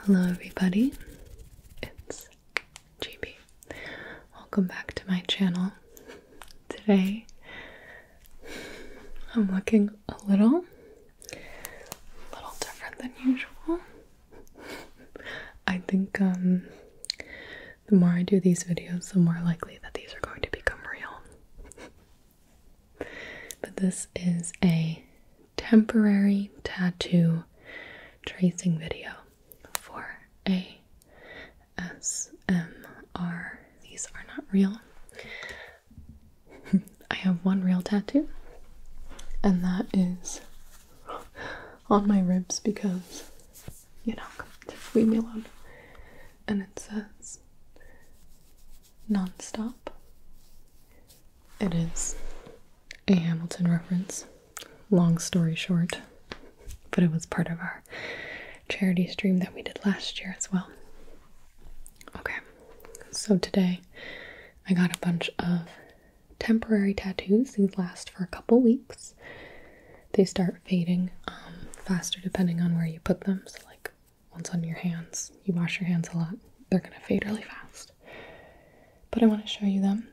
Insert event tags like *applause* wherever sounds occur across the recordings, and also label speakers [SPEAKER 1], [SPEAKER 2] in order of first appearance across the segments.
[SPEAKER 1] Hello, everybody. It's GB. Welcome back to my channel. Today, I'm looking a little, a little different than usual. I think um, the more I do these videos, the more likely that these are going to become real. But this is a temporary tattoo tracing video for a S M R. These are not real. *laughs* I have one real tattoo, and that is on my ribs because, you know, just leave me alone. And it says nonstop. It is a Hamilton reference. Long story short, but it was part of our charity stream that we did last year as well. Okay, so today I got a bunch of temporary tattoos. These last for a couple weeks. They start fading um, faster depending on where you put them. So, like once on your hands, you wash your hands a lot, they're gonna fade really fast. But I wanna show you them.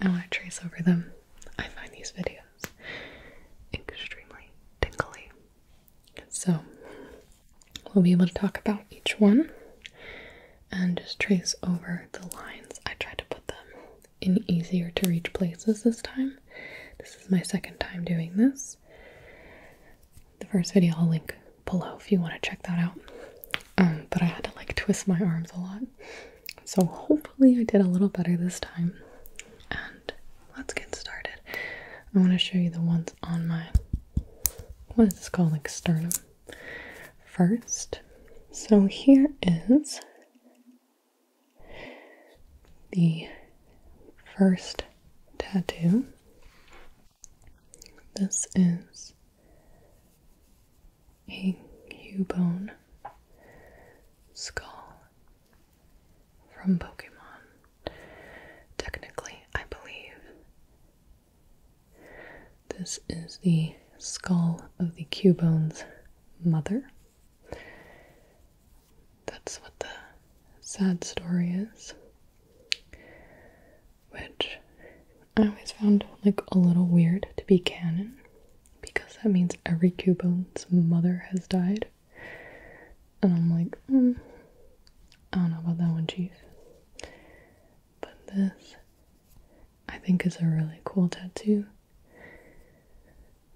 [SPEAKER 1] I wanna trace over them. I find these videos extremely tingly. So we'll be able to talk about each one and just trace over the lines. I tried to put them in easier to reach places this time. This is my second time doing this the first video I'll link below if you want to check that out. Um, but I had to like twist my arms a lot. So hopefully I did a little better this time. And let's get started. I want to show you the ones on my what is this called? Like sternum first. So here is the first tattoo. This is a Cubone skull from Pokemon. Technically, I believe this is the skull of the Cubone's mother. That's what the sad story is which I always found like a little weird to be canon because that means every Cubone's mother has died. And I'm like, hmm, I don't know about that one, Chief. But this, I think, is a really cool tattoo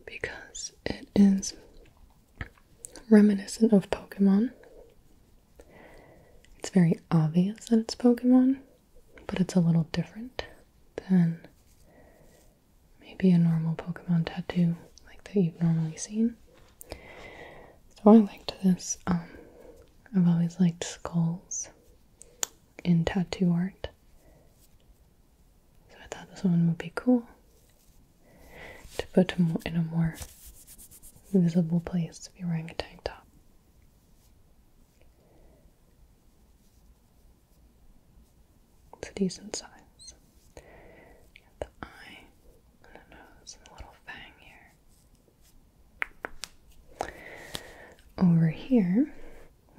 [SPEAKER 1] because it is reminiscent of Pokemon. It's very obvious that it's Pokemon, but it's a little different than maybe a normal Pokemon tattoo like that you've normally seen. So I liked this. Um, I've always liked skulls in tattoo art. So I thought this one would be cool to put in a more visible place if you're wearing a tank top. It's a decent size. the eye and the nose and the little fang here. Over here,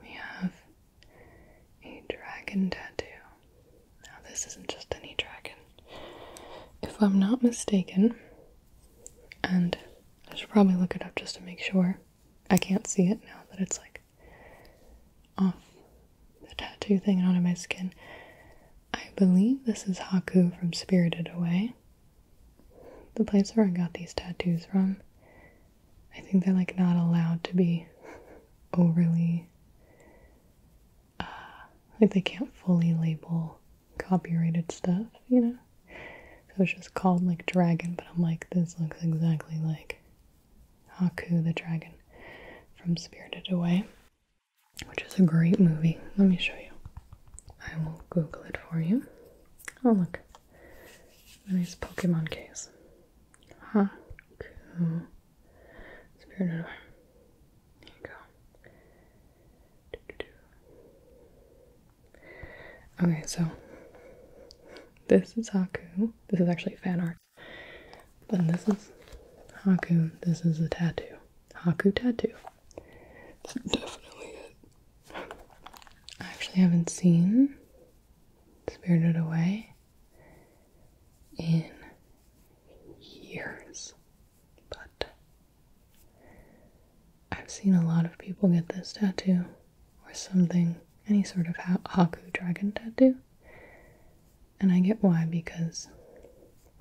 [SPEAKER 1] we have a dragon tattoo. Now, this isn't just any dragon, if I'm not mistaken, and I should probably look it up just to make sure. I can't see it now that it's like off the tattoo thing and onto my skin. I believe this is Haku from Spirited Away. The place where I got these tattoos from. I think they're like not allowed to be overly like they can't fully label copyrighted stuff, you know? So it's just called like Dragon, but I'm like, this looks exactly like Haku the Dragon from Spirited Away, which is a great movie. Let me show you. I will Google it for you. Oh, look. A nice Pokemon case. Haku. Spirited Away. There you go. Okay, so this is Haku. This is actually fan art. but this is Haku. This is a tattoo. Haku tattoo. That's definitely it. I actually haven't seen Spirited Away in years. But I've seen a lot of people get this tattoo or something, any sort of Haku dragon tattoo. And I get why, because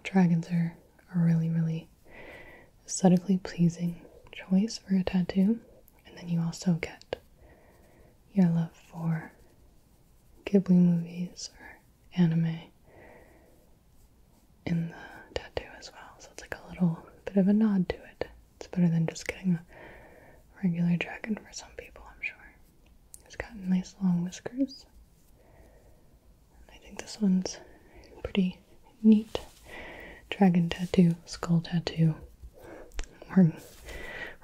[SPEAKER 1] dragons are a really, really aesthetically pleasing choice for a tattoo. And then you also get your love for Ghibli movies or anime in the tattoo as well. So it's like a little bit of a nod to it. It's better than just getting a regular dragon for some people, I'm sure. It's got nice long whiskers. I think this one's pretty neat. Dragon tattoo, skull tattoo. We're,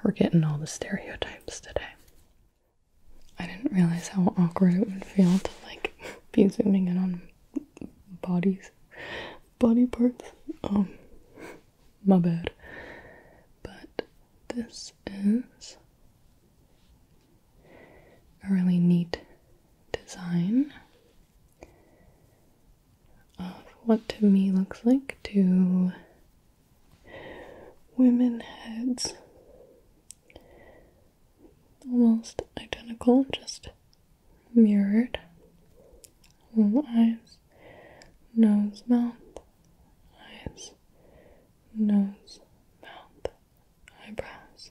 [SPEAKER 1] we're getting all the stereotypes today. I didn't realize how awkward it would feel to like *laughs* be zooming in on bodies, body parts. Um, my bad. But this is a really neat design of what to me looks like two women heads almost identical, just mirrored. Little eyes, nose, mouth, eyes, nose, mouth, eyebrows,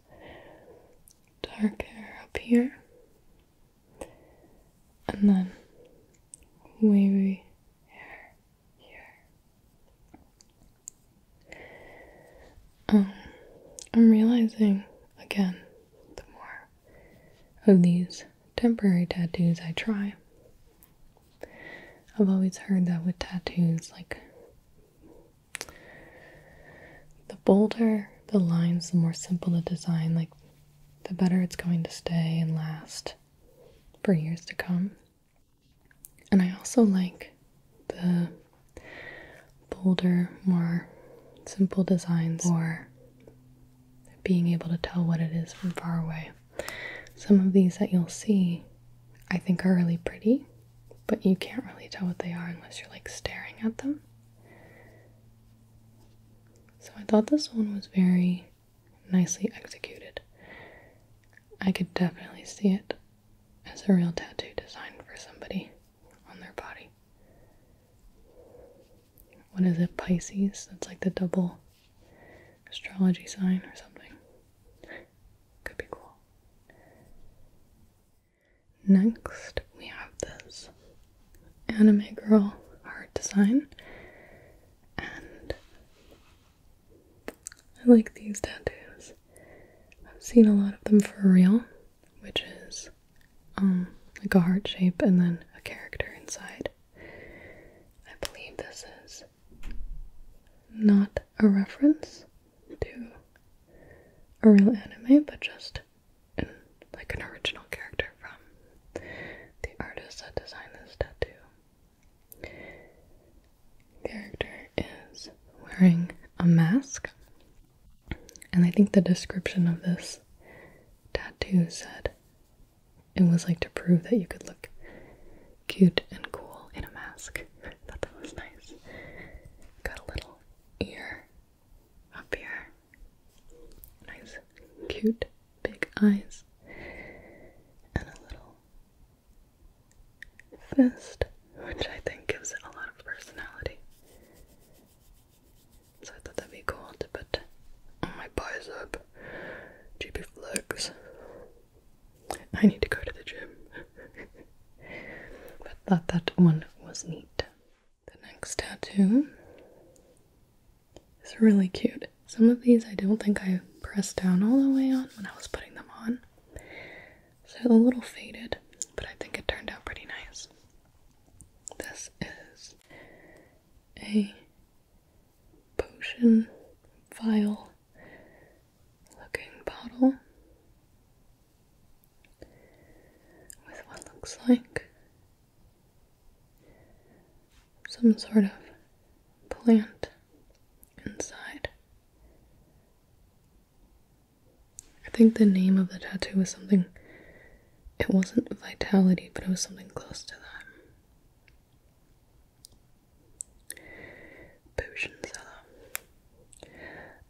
[SPEAKER 1] dark hair up here, and then wavy hair here. Um, I'm realizing again, the more of these temporary tattoos I try, I've always heard that with tattoos, like the bolder the lines, the more simple the design, like the better it's going to stay and last for years to come. And I also like the bolder, more simple designs or being able to tell what it is from far away. Some of these that you'll see I think are really pretty, but you can't really tell what they are unless you're like staring at them. So I thought this one was very nicely executed. I could definitely see it as a real tattoo designed for somebody on their body. What is it, Pisces? That's like the double astrology sign or something. Could be cool. Next, we have this anime girl art design. And I like these tattoos. I've seen a lot of them for real, which is um, like a heart shape and then a character inside. I believe this is not a reference to a real anime, but just like an original character from the artist that designed this tattoo character is wearing a mask. And I think the description of this tattoo said it was like to prove that you could look cute and cool in a mask. *laughs* thought that was nice. Got a little ear up here. Nice, cute, big eyes. And a little fist, which I think gives it a lot of personality. So I thought that'd be cool to put my bicep. GB flex. I need to go to the gym. *laughs* but thought that one was neat. The next tattoo is really cute. Some of these I don't think I pressed down all the way on when I was putting them on. So a little faded, but I think it turned out pretty nice. This is a potion vial looking bottle with what looks like some sort of plant inside. I think the name of the tattoo was something. It wasn't vitality, but it was something close to that. Potion seller.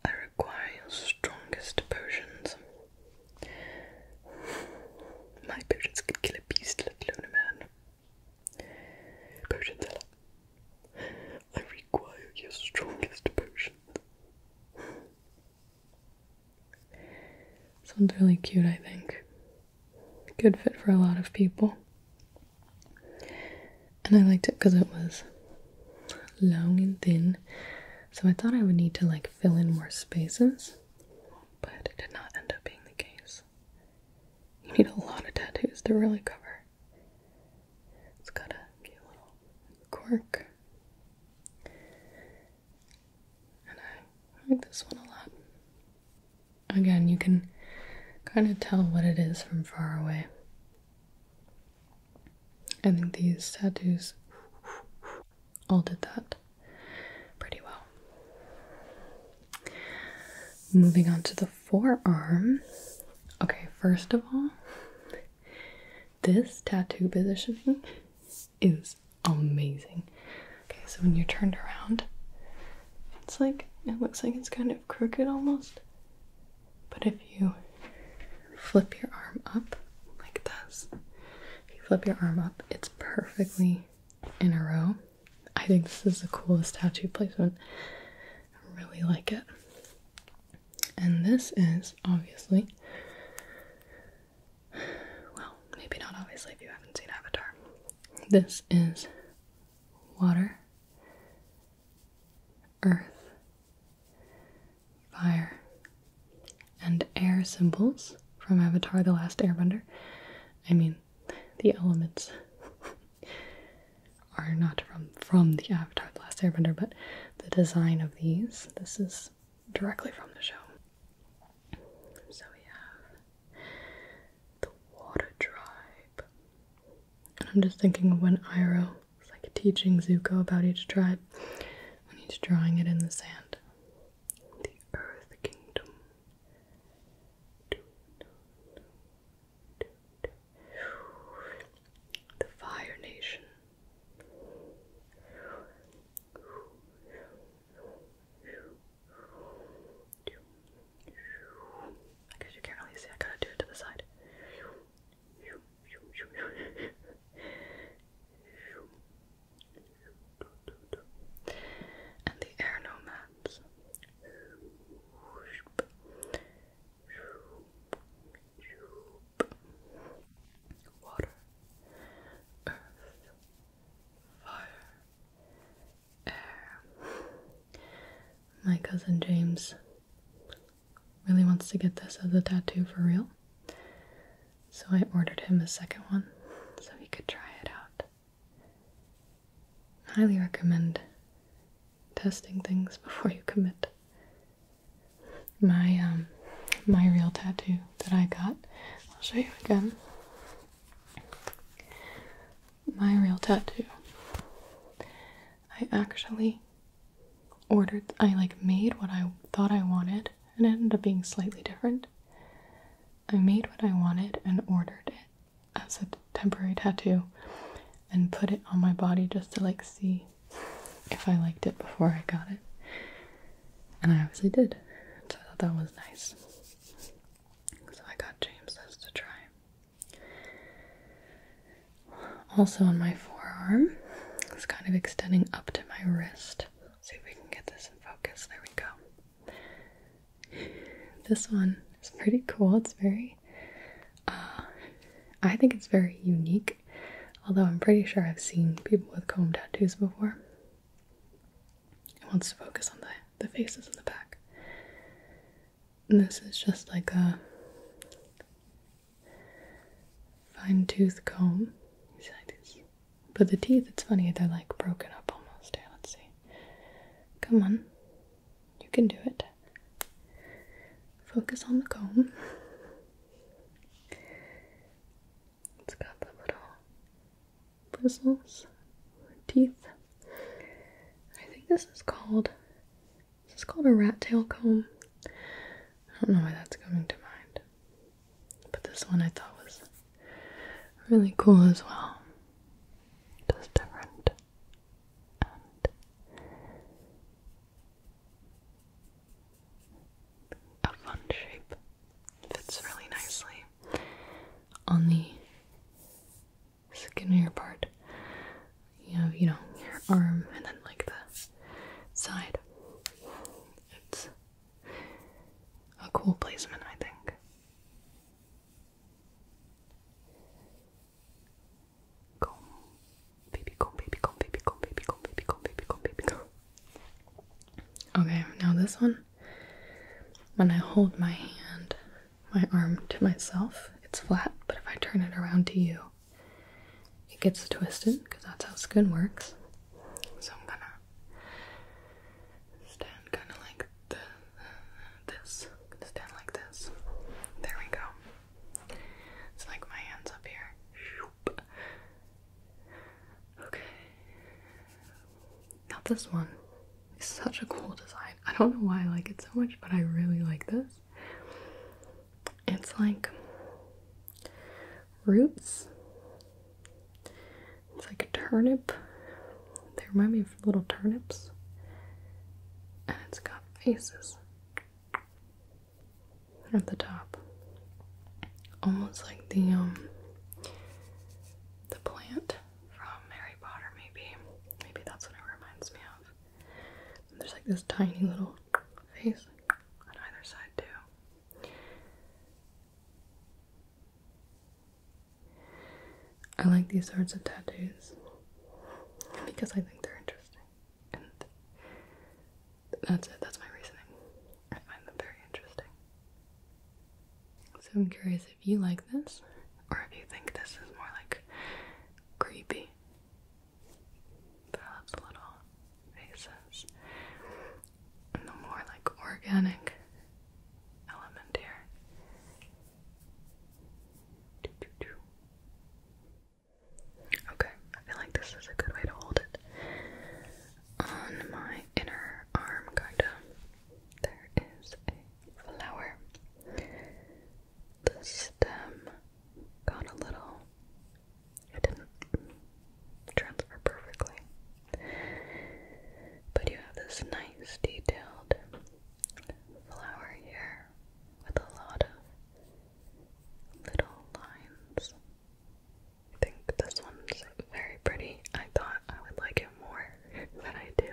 [SPEAKER 1] I require your strongest potions. My potions could kill a beast, let alone a man. Potion seller. I require your strongest potion. Sounds really cute, I think. Good fit for a lot of people. And I liked it because it was long and thin, so I thought I would need to like fill in more spaces, but it did not end up being the case. You need a lot of tattoos to really cover it's got a cute little quirk, And I like this one a lot. Again, you can kind of tell what it is from far away. I think these tattoos all did that pretty well. Moving on to the forearm. Okay, first of all, this tattoo positioning is amazing. Okay, so when you're turned around, it's like it looks like it's kind of crooked almost. But if you flip your arm up like this, if you flip your arm up, it's perfectly in a row. I think this is the coolest tattoo placement. I really like it. And this is obviously, well, maybe not obviously if you haven't seen Avatar. This is water, earth, fire, and air symbols from Avatar The Last Airbender. I mean, the elements. *laughs* are not from from the Avatar: The Last Airbender, but the design of these. This is directly from the show. So we have the Water Tribe. I'm just thinking of when Iro was like teaching Zuko about each tribe when he's drawing it in the sand. The Earth Kingdom. The Fire Nation. I guess you can't really see, I gotta do it to the side. And the air nomads water, earth, fire, air. My cousin James really wants to get this as a tattoo for real, so I ordered him a second one so he could try it out. Highly recommend testing things *laughs* before you commit my um my real tattoo that I got. I'll show you again. My real tattoo. I actually ordered I like made what I thought I wanted and it ended up being slightly different. I made what I wanted and ordered it as a temporary tattoo and put it on my body just to like see if I liked it before I got it. And I obviously did. So I thought that was nice. So I got James's to try. Also on my forearm, it's kind of extending up to my wrist. see if we can get this in focus. There we go. This one is pretty cool. It's very uh, I think it's very unique, although I'm pretty sure I've seen people with comb tattoos before. It wants to focus on the, the faces in the back. this is just like a fine tooth comb. But the teeth, it's funny, they're like broken up almost. Here, let's see. Come on. You can do it focus on the comb. It's got the little bristles, teeth. I think this is called this is called a rat tail comb. I don't know why that's coming to mind. But this one I thought was really cool as well. Just different a fun shape. Fits really nicely on the skinnier part. You have, you know, your arm and then like the side. It's a cool placement, I think comb, baby comb, baby comb, baby comb, baby comb, baby comb, baby comb, baby comb. Okay, now this one. When I hold my hand, my arm to myself, it's flat, but if I turn it around to you, it gets twisted because that's how skin works. So I'm gonna stand kind of like this. Stand like this. There we go. It's like my hands up here. Okay. Now this one is such a cool design. I don't know why I like it so much, but I really like this. It's like roots. It's like a turnip. They remind me of little turnips. And it's got faces at the top. Almost like the um the plant from Harry Potter maybe. Maybe that's what it reminds me of. there's like this tiny little face on either side too. I like these sorts of tattoos because I think they're interesting that's it. That's my reasoning. I find them very interesting. So I'm curious if you like this, or if you think this is more like creepy. Perhaps little faces, and the more like organic element here. Okay, I feel like this is a good way to hold it. On my inner arm, kinda, there is a flower. The stem got a little, didn't transfer perfectly. But you have this nice detailed flower here with a lot of little lines. I think this one's very pretty. I thought I would like it more *laughs* than I do.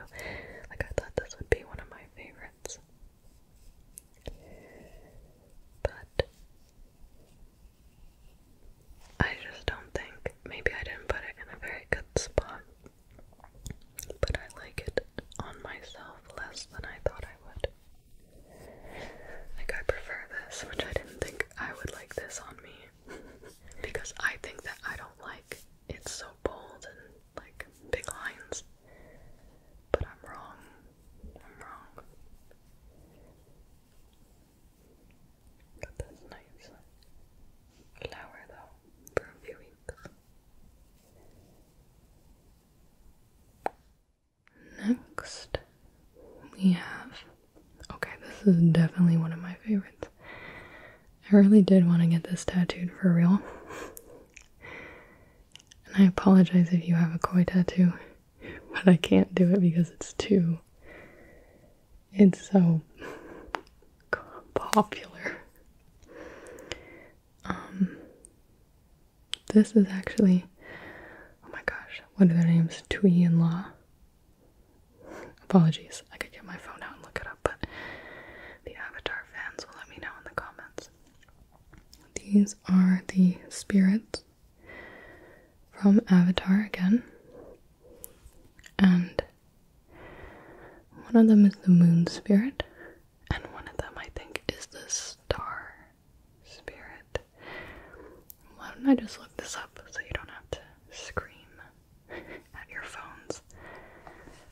[SPEAKER 1] Like, I thought this would be one of my favorites. But I just don't think maybe I didn't put it in a very good spot. But I like it on myself less than I thought I would. Like, I prefer this, which I didn't think I would like this on me. *laughs* because I think that I don't like it's so bold and like big lines. But I'm wrong. I'm wrong. Got this nice flower though for Next, we have. Okay, this is definitely one of my favorites. I really did want to get this tattooed for real. And I apologize if you have a koi tattoo, but I can't do it because it's too. It's so popular. Um, this is actually, oh my gosh, what are their names? Tui and Law. Apologies, I could get my phone out and look it up, but the Avatar fans will let me know in the comments. These are the spirits from Avatar again. And one of them is the moon spirit, and one of them I think is the star spirit. Why don't I just look this up so you don't have to scream at your phones?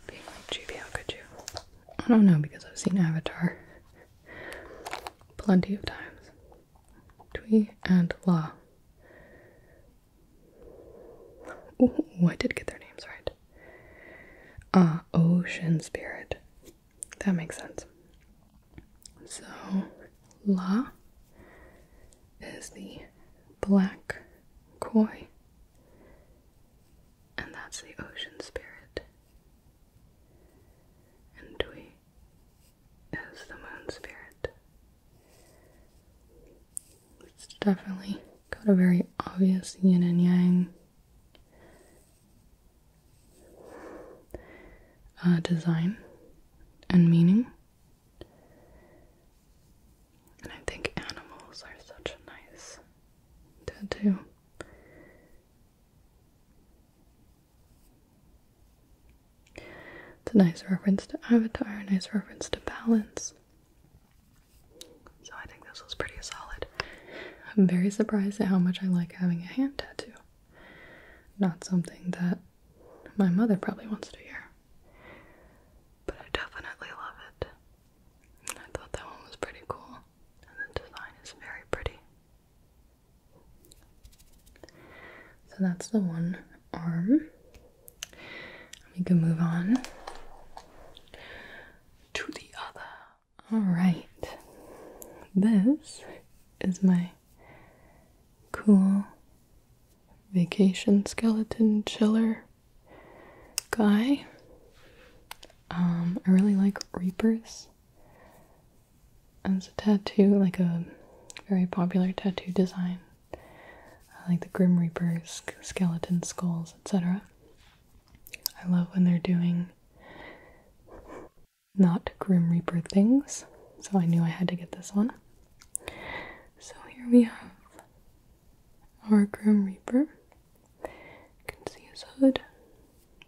[SPEAKER 1] Being like, Juby, how could you? I don't know because I've seen Avatar plenty of times. Tui and La. Ooh, I did get their names right. Ah, Ocean Spirit. That makes sense. So, La is the black koi, and that's the ocean spirit. And Dwi is the moon spirit. It's definitely got a very obvious yin and yang uh, design and meaning. And I think animals are such a nice tattoo. It's a nice reference to Avatar, a nice reference to balance. So I think this was pretty solid. I'm very surprised at how much I like having a hand tattoo. Not something that my mother probably wants to hear. But I definitely love it. I thought that one was pretty cool. And the design is very pretty. So that's the one arm. We can move on to the other. All right. This is my cool vacation skeleton chiller guy. Um, I really like Reapers It's a tattoo, like a very popular tattoo design. I like the Grim Reapers, skeleton skulls, etc. I love when they're doing not Grim Reaper things, so I knew I had to get this one. So here we have our Grim Reaper. You can see his hood,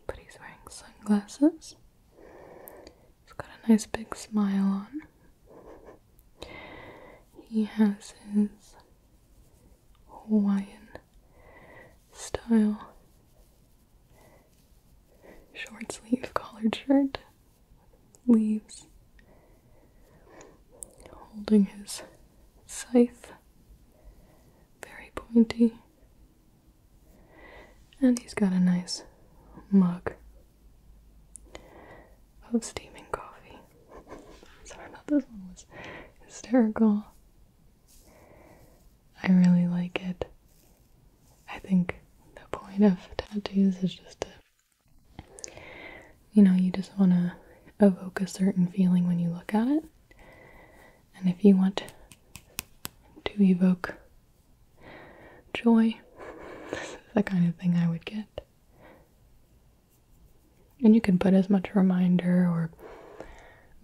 [SPEAKER 1] but he's wearing sunglasses. He's got a nice big smile on. He has his Hawaiian style short sleeve collared shirt, leaves, holding his scythe, very pointy, and he's got a nice mug of steaming coffee. *laughs* Sorry about this one was hysterical. I really like it. I think the point of tattoos is just to, you know, you just want to evoke a certain feeling when you look at it. And if you want to evoke joy, *laughs* this is the kind of thing I would get. And you can put as much reminder or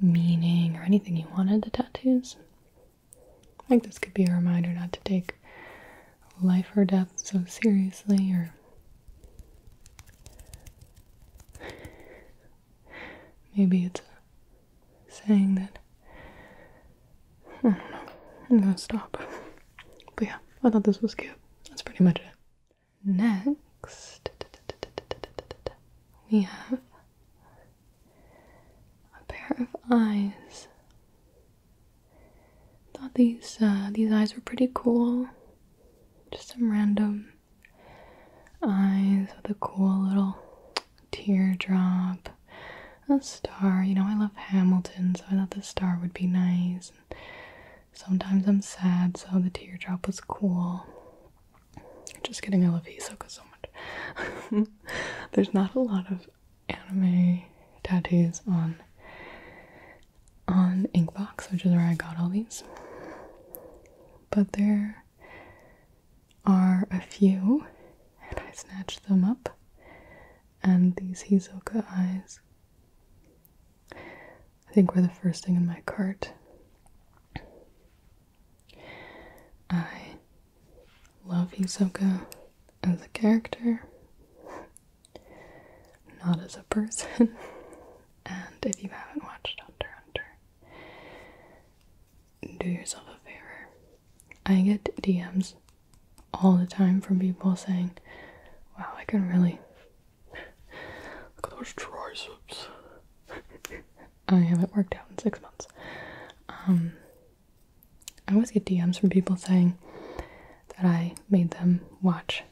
[SPEAKER 1] meaning or anything you wanted the tattoos. I think this could be a reminder not to take life or death so seriously or maybe it's a saying that I don't know. I'm gonna stop. But yeah, I thought this was cute. That's pretty much it. Next we have a pair of eyes. Thought these uh, these eyes were pretty cool. Just some random eyes with a cool little teardrop, a star. You know, I love Hamilton, so I thought the star would be nice. Sometimes I'm sad, so the teardrop was cool. Just kidding, I love Hisoka so much. *laughs* There's not a lot of anime tattoos on on Inkbox, which is where I got all these. But there are a few, and I snatched them up. And these Hisoka eyes, I think, were the first thing in my cart. I love Hisoka as a character, not as a person. *laughs* and if you haven't watched Hunter Hunter, do yourself a favor. I get DMs all the time from people saying, Wow, I can really look at those triceps. *laughs* I haven't worked out in six months. Um, I always get DMs from people saying that I made them watch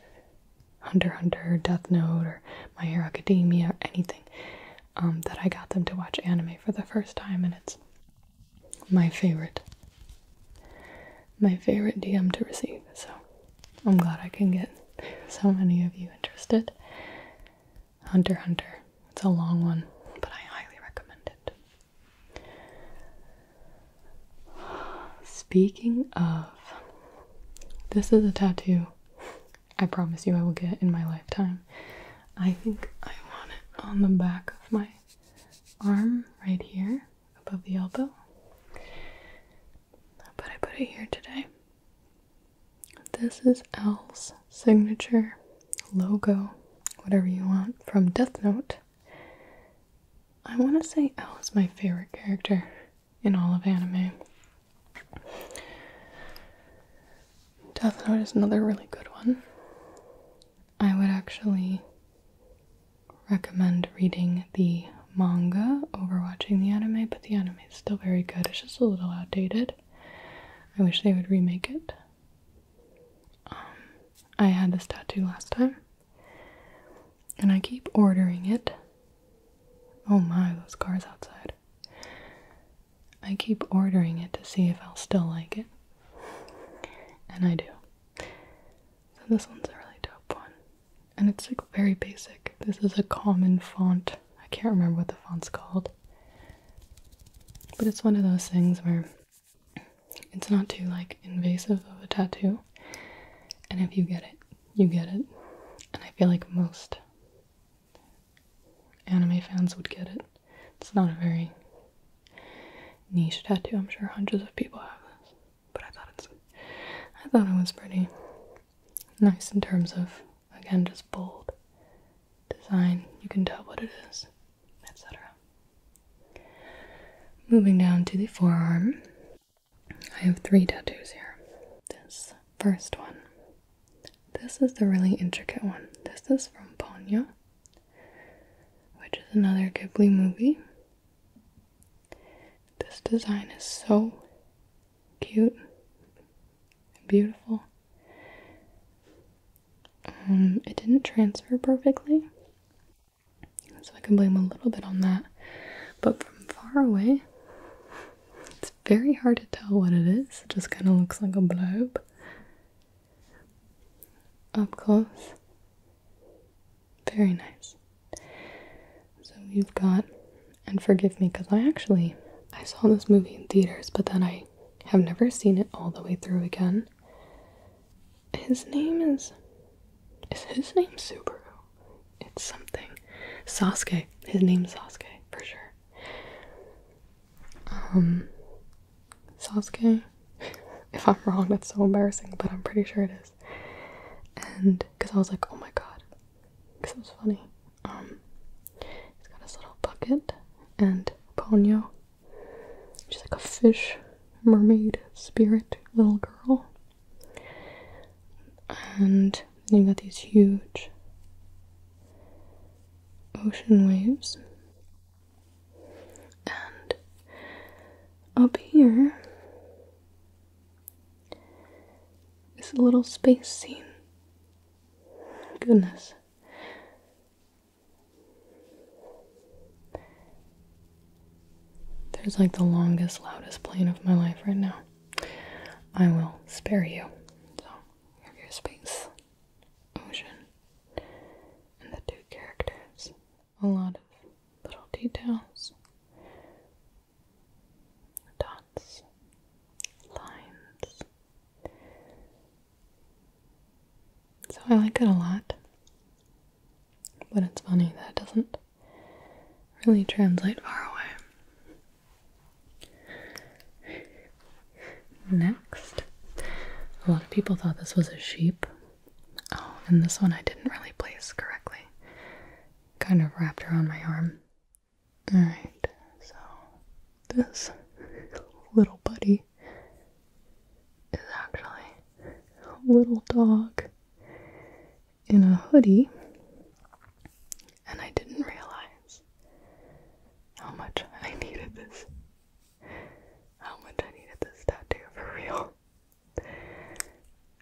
[SPEAKER 1] Hunter Hunter, Death Note, or My Hero Academia, or anything. Um, that I got them to watch anime for the first time, and it's my favorite, my favorite DM to receive. So I'm glad I can get so many of you interested. Hunter Hunter. It's a long one, but I highly recommend it. Speaking of, this is a tattoo I promise you I will get in my lifetime. I think I want it on the back of my arm right here above the elbow. But I put it here today this is Al's signature logo, whatever you want, from Death Note. I want to say Al is my favorite character in all of anime. Death Note is another really good one. I would actually recommend reading the manga over watching the anime, but the anime is still very good. It's just a little outdated. I wish they would remake it. Um, I had this tattoo last time, and I keep ordering it. Oh my, those cars outside. I keep ordering it to see if I'll still like it. And I do. So this one's a really dope one. And it's like very basic. This is a common font. I can't remember what the font's called. But it's one of those things where it's not too like invasive of a tattoo. And if you get it, you get it. And I feel like most anime fans would get it. It's not a very niche tattoo. I'm sure hundreds of people have this. But I thought it's I thought it was pretty nice in terms of Again, just bold design. You can tell what it is, etc. Moving down to the forearm, I have three tattoos here. This first one. This is the really intricate one. This is from Ponyo, which is another Ghibli movie. This design is so cute and beautiful. Um, it didn't transfer perfectly, so I can blame a little bit on that. But from far away, it's very hard to tell what it is. just kind of looks like a blob. Up close, very nice. So you have got, and forgive me because I actually I saw this movie in theaters, but then I I have never seen it all the way through again. His name is. Is his name Subaru? It's something. Sasuke. His name Sasuke, for sure. Um. Sasuke. *laughs* if I'm wrong, that's so embarrassing, but I'm pretty sure it is. And. Because I was like, oh my god. Because it was funny. Um. He's got his little bucket and Ponyo. She's like a fish mermaid spirit little girl. And then you got these huge ocean waves. And up here is a little space scene. Goodness. There's like the longest, loudest plane of my life right now. I will spare you. So, your space, ocean, and the two characters. A lot of little details, dots, lines, so I like it a lot. But it's funny that it doesn't really translate far away. Next, a lot of people thought this was a sheep. Oh, and this one I didn't really place correctly. Kind of wrapped around my arm. Alright, so this *laughs* little buddy is actually a little dog in a hoodie, and I didn't realize how much I needed this. How much I needed this tattoo for real.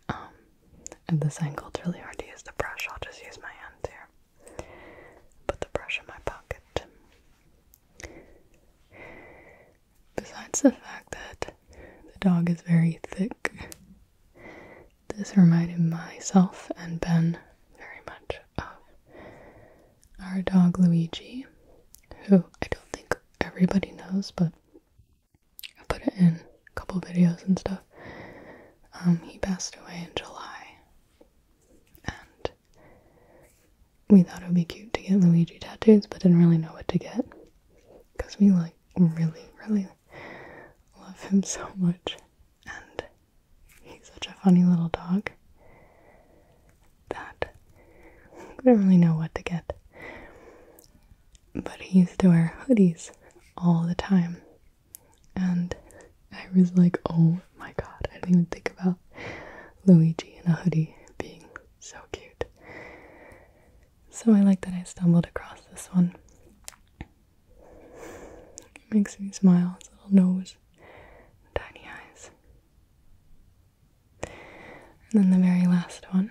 [SPEAKER 1] Um, and this angle, it's really hard to use the brush. I'll just use my hands here. Put the brush in my pocket. Besides the fact that the dog is very thick, this reminded myself and Ben very much of our dog Luigi, who I don't think everybody knows, but I put it in a couple videos and stuff. Um, he passed away in July and we thought it would be cute to get Luigi tattoos, but didn't really know what to get because we like really, really love him so much, and he's such a funny little dog that we didn't really know what to get. But he used to wear hoodies all the time, and I was like, oh my god, I didn't even think about Luigi in a hoodie being so cute. So I like that I stumbled across this one. It makes me smile, his little nose, tiny eyes. And then the very last one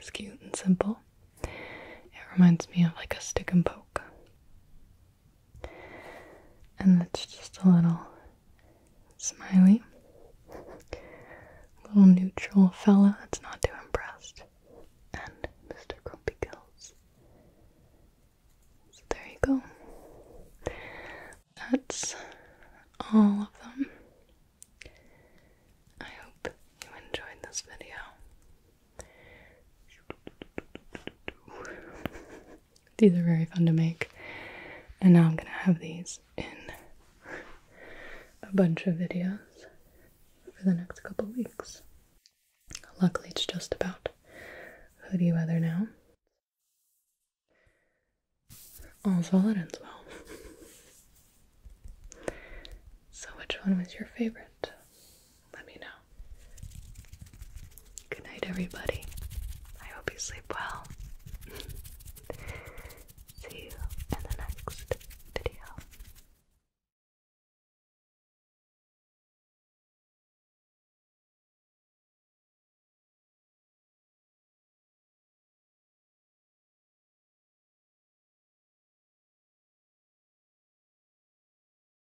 [SPEAKER 1] is cute and simple. It reminds me of like a stick and poke. And that's just a little smiley, *laughs* little neutral fella that's not too impressed. And Mr. Grumpy Gills. So there you go. That's all of them. I hope you enjoyed this video. These are very fun to make. And now I'm going to have these in a bunch of videos for the next couple weeks. Luckily, it's just about hoodie weather now. All's well that ends well. so, which one was your favorite? let me know. Good night, everybody. I hope you sleep well. *laughs* See you in the next video.